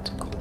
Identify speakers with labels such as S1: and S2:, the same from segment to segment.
S1: It's cold.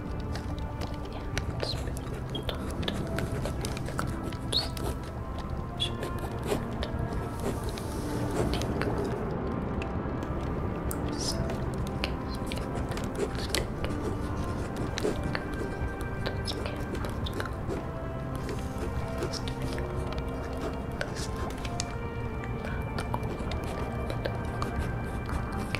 S1: and the clouds should be deep. So, okay, let's take Let's get Let's do it. Let's do it. Let's do it.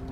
S1: this Thank you.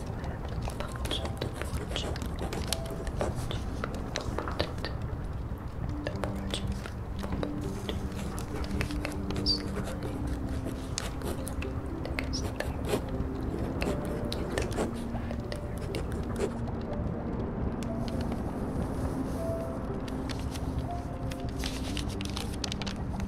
S2: punch, punch, punch, Thank you.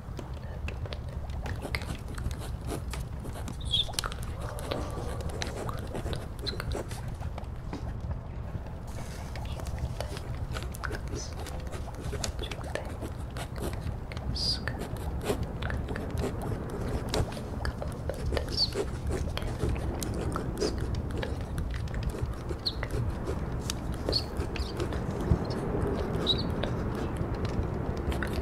S1: Okay. That's good. That's good. That's good. Okay.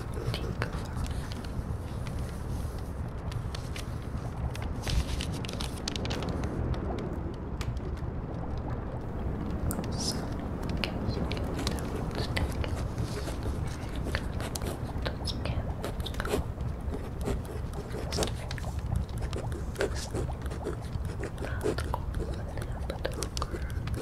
S1: Tinker so, can you give the root stick? Don't scan. Go. Just very. Not go. But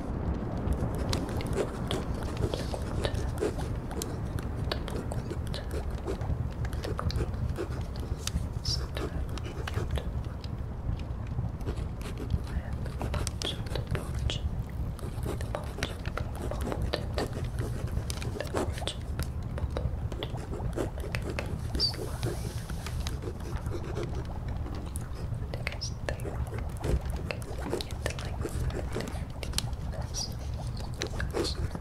S1: Slide because they can get the length of the that's not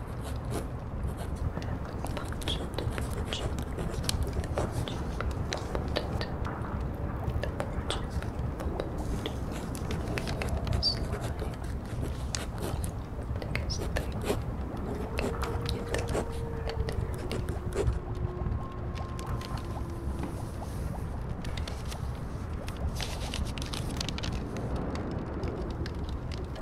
S1: punch it, punch it, punch it, punch it, Slide.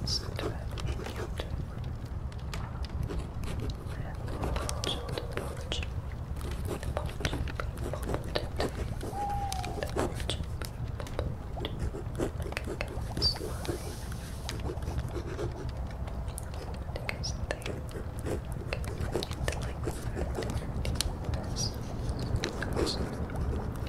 S1: Listen to it. Listen to it. And punch it. Punch it. Punch it. Punch it. Punch it. I